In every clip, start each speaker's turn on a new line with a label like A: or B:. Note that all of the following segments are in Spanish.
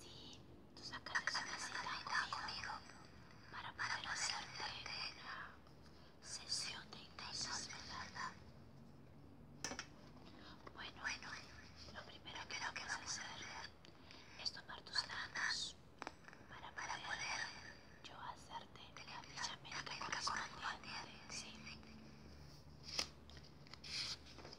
A: Sí, tú sacas esa cita conmigo para poder hacerte una sesión de la ¿verdad? Bueno, bueno, lo primero que vamos a hacer es tomar tus manos para poder yo hacerte la bella correspondiente, ¿sí?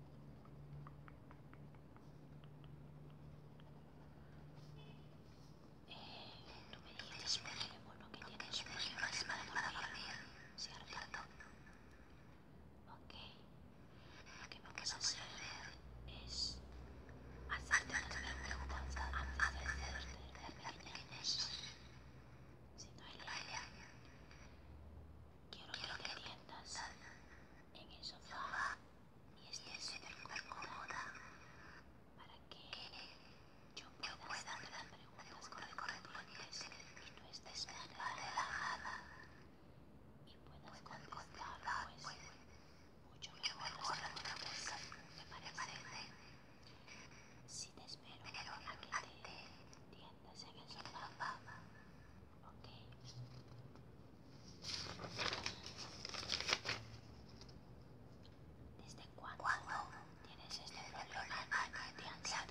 A: Tú me dijiste que bueno que tienes problemas para dormir, ¿cierto? Ok. Lo que vamos a hacer es hacerte unas preguntas antes de hacerte la pequeña cosa. Si no, Elia, Quiero, que, te tiendas en el sofá y estés súper cómoda para que yo pueda, yo hacer las preguntas correspondientes y tú estés más relajada y puedas contestar pues, pues mucho mejor las preguntas, ¿te parece? Si te espero a que te tiendas Ok. ¿Desde cuándo, tienes este problema de ansiedad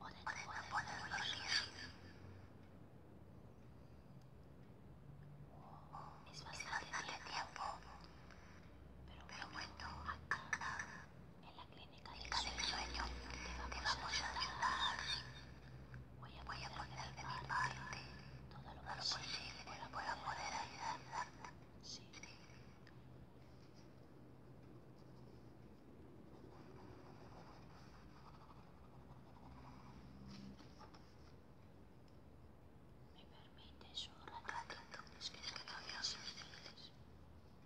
A: o de no poder dormir? es bastante tiempo. Pero bueno, acá en la clínica del sueño te vamos a ayudar. Voy a poner de mi parte todo lo posible para poder ayudar. Sí. ¿Me permites un ratito? Es que no había suficientes.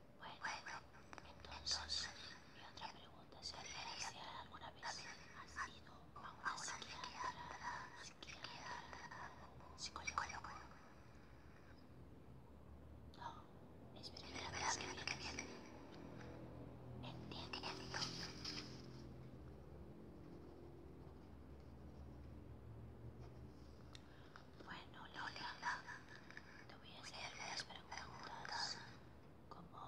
A: Bueno, entonces mi otra pregunta sería si alguna vez has sido a una psiquiatra, psiquiatra No, es primera vez que vienes. Bueno, Lola, te voy a hacer unas preguntas como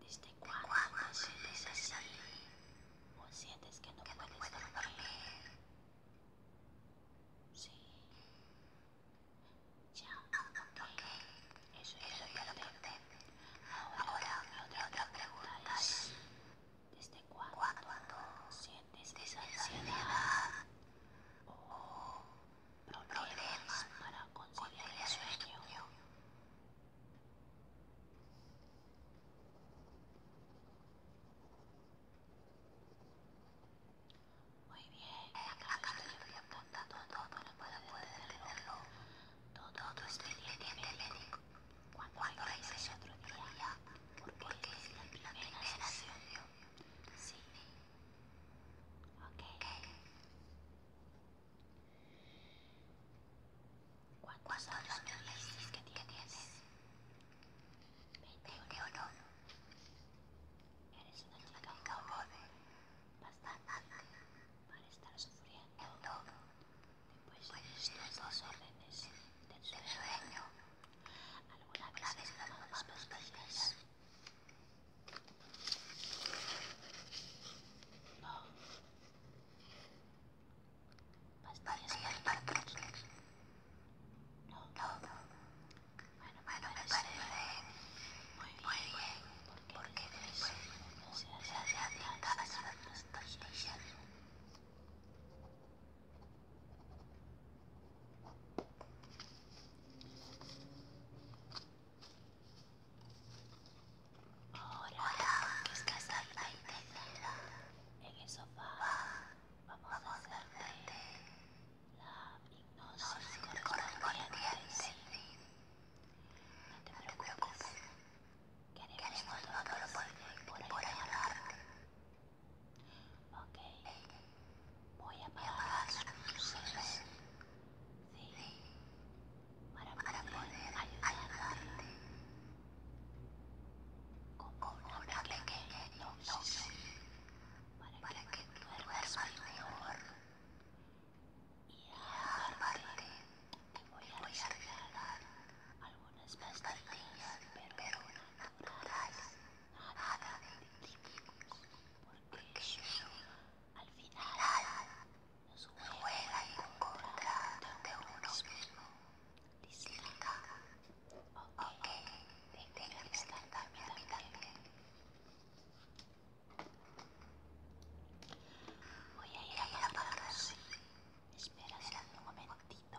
A: ¿desde cuándo te sientes así? ¿O sientes que no puedes dormir? Sí. Ya, ok. Eso ya lo noté. Ahora, otra pregunta es ¿desde cuándo sientes esa ansiedad? o problemas para conseguir el sueño. Muy bien, acá estoy apuntando todo para poder tenerlo. Todo Cuando otro día, porque es la primera Sí. ¿Cuántos años me dices que tienes? 21. Eres una chica joven, bastante, para estar sufriendo. Después de estos órdenes del sueño, alguna vez has a pastillas. No. no. para No. No. bueno, me parece muy bien, porque después se hace Ahora que estás ahí tendida en el sofá, vamos a hacerte la hipnosis correspondiente, sí. No te preocupes, queremos todo lo posible por ayudarte. Ok, voy a apagar sí, para poder ayudarte con una pequeña dosis para que duermas mejor y aparte voy a regalar algunas pastillas pero nada de típicos, porque al final nos juega en contra de uno mismo. Disfruta. Ok, tengo que estar también, Voy a ir a la Espera, espera un momentito.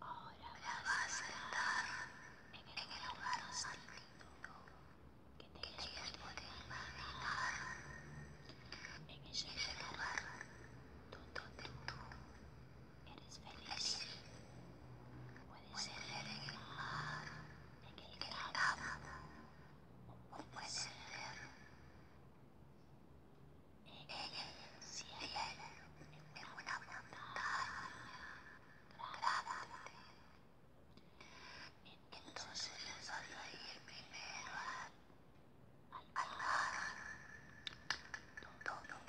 A: Ahora vas a estar en el lugar más que te hayas podido imaginar. En ese lugar donde tú Eres feliz. Puede ser en el mar, en el o puede ser en el cielo, en una montaña grande. Entonces yo a ir primero al mar, donde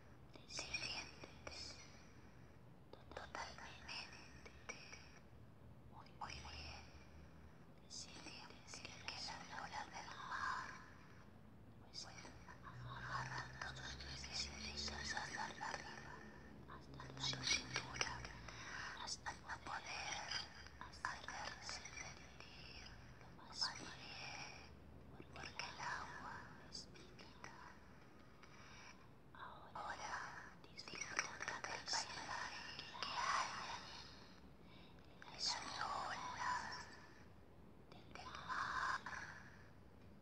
A: te sientes totalmente muy, muy bien. si sientes que la olas del mar pues agarran todos tus piecitos hasta arriba, hasta tu cintura, hasta no poder hacerse sentir lo más bien porque el agua es mítica. Ahora disfruta del paisaje que hay, las olas del mar,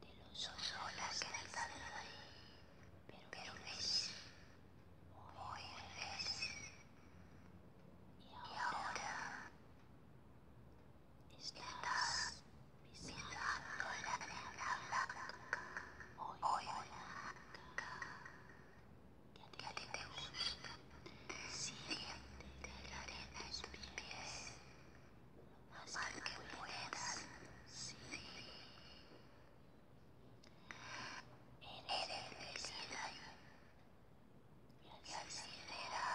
A: de los olas que están ahí, pero ves, hoy ves, y ahora Estás mirando la arena blanca hoy que a ti te gusta. Siente la arena en tus pies más que puedas. Sí. Eres felicidad y así será.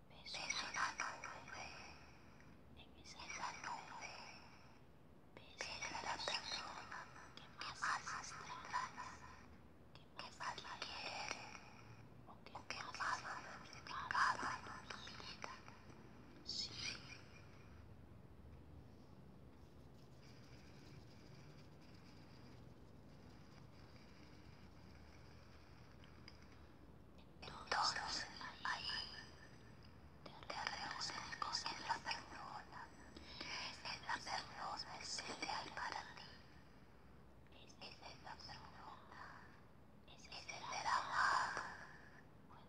A: Beso en la nube, en la nube, beso a la persona que más extraña, que más quiere o que más ha significado en tu vida. Sí. Entonces ahí te reúnes con la persona, es la persona es ideal para ti, esa es la persona, ese ser amado,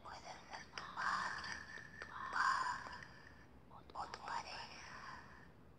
A: puede ser tu madre, tu padre o tu pareja,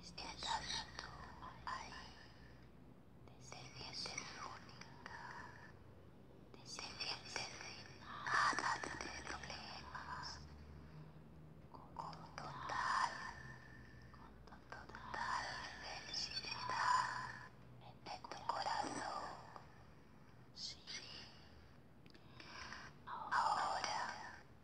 A: Estás tú ahí, descendiente única, descendiente de nada de problemas, con total, con total felicidad en tu corazón. Sí. Ahora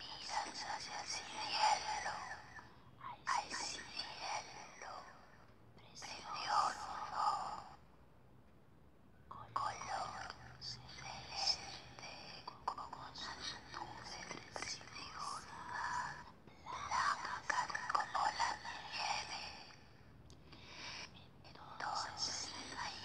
A: Milan says I see yellow. I see yellow. Precioso. Color celeste con unas nubes preciosas. Blancas como la nieve. Entonces ahí.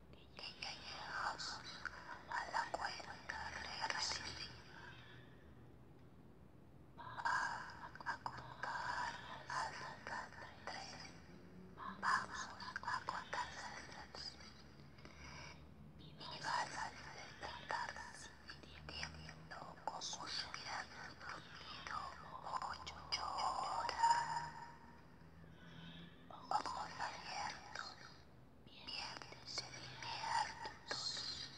A: y que llegamos a la regresiva. vamos a contar hasta tres. Vamos a contar tres. Y vas a viendo cómo dormido ocho horas. Ojos abiertos, mientes despiertos.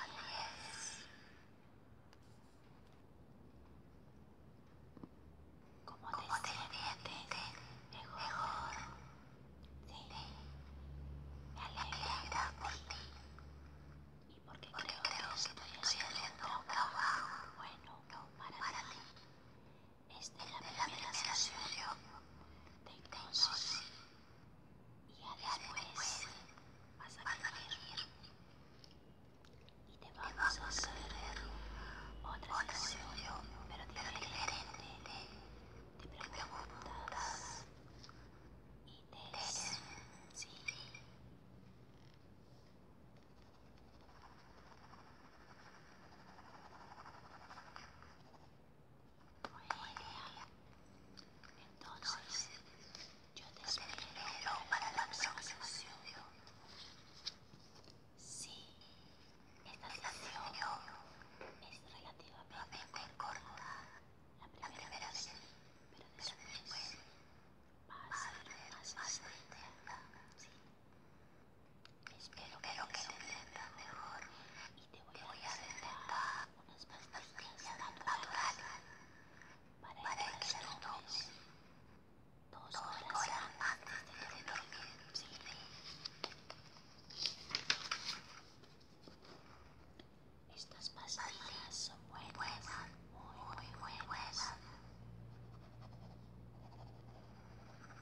A: Adiós. Como te, ¿Cómo te sientes? Mejor. mejor. Sí. Me por ti. Y porque, creo, que, estoy haciendo un trabajo, bueno para ti. Este es de la primera de Y ya después vas a y te vas a hacer otra sesión, pero diferente. Te preguntas y te... Sí. Muy bien. Entonces, yo te espero para la próxima sesión. Sí, esta sesión es relativamente corta. La primera vez, pero después va a ser más extensa. Sí. Espero que, lo que te sientas mejor y te voy, a sentar unas pastillas naturales para, que, que dos horas, antes de dormir. te dormir. Estas pastillas son buenas, muy, buenas.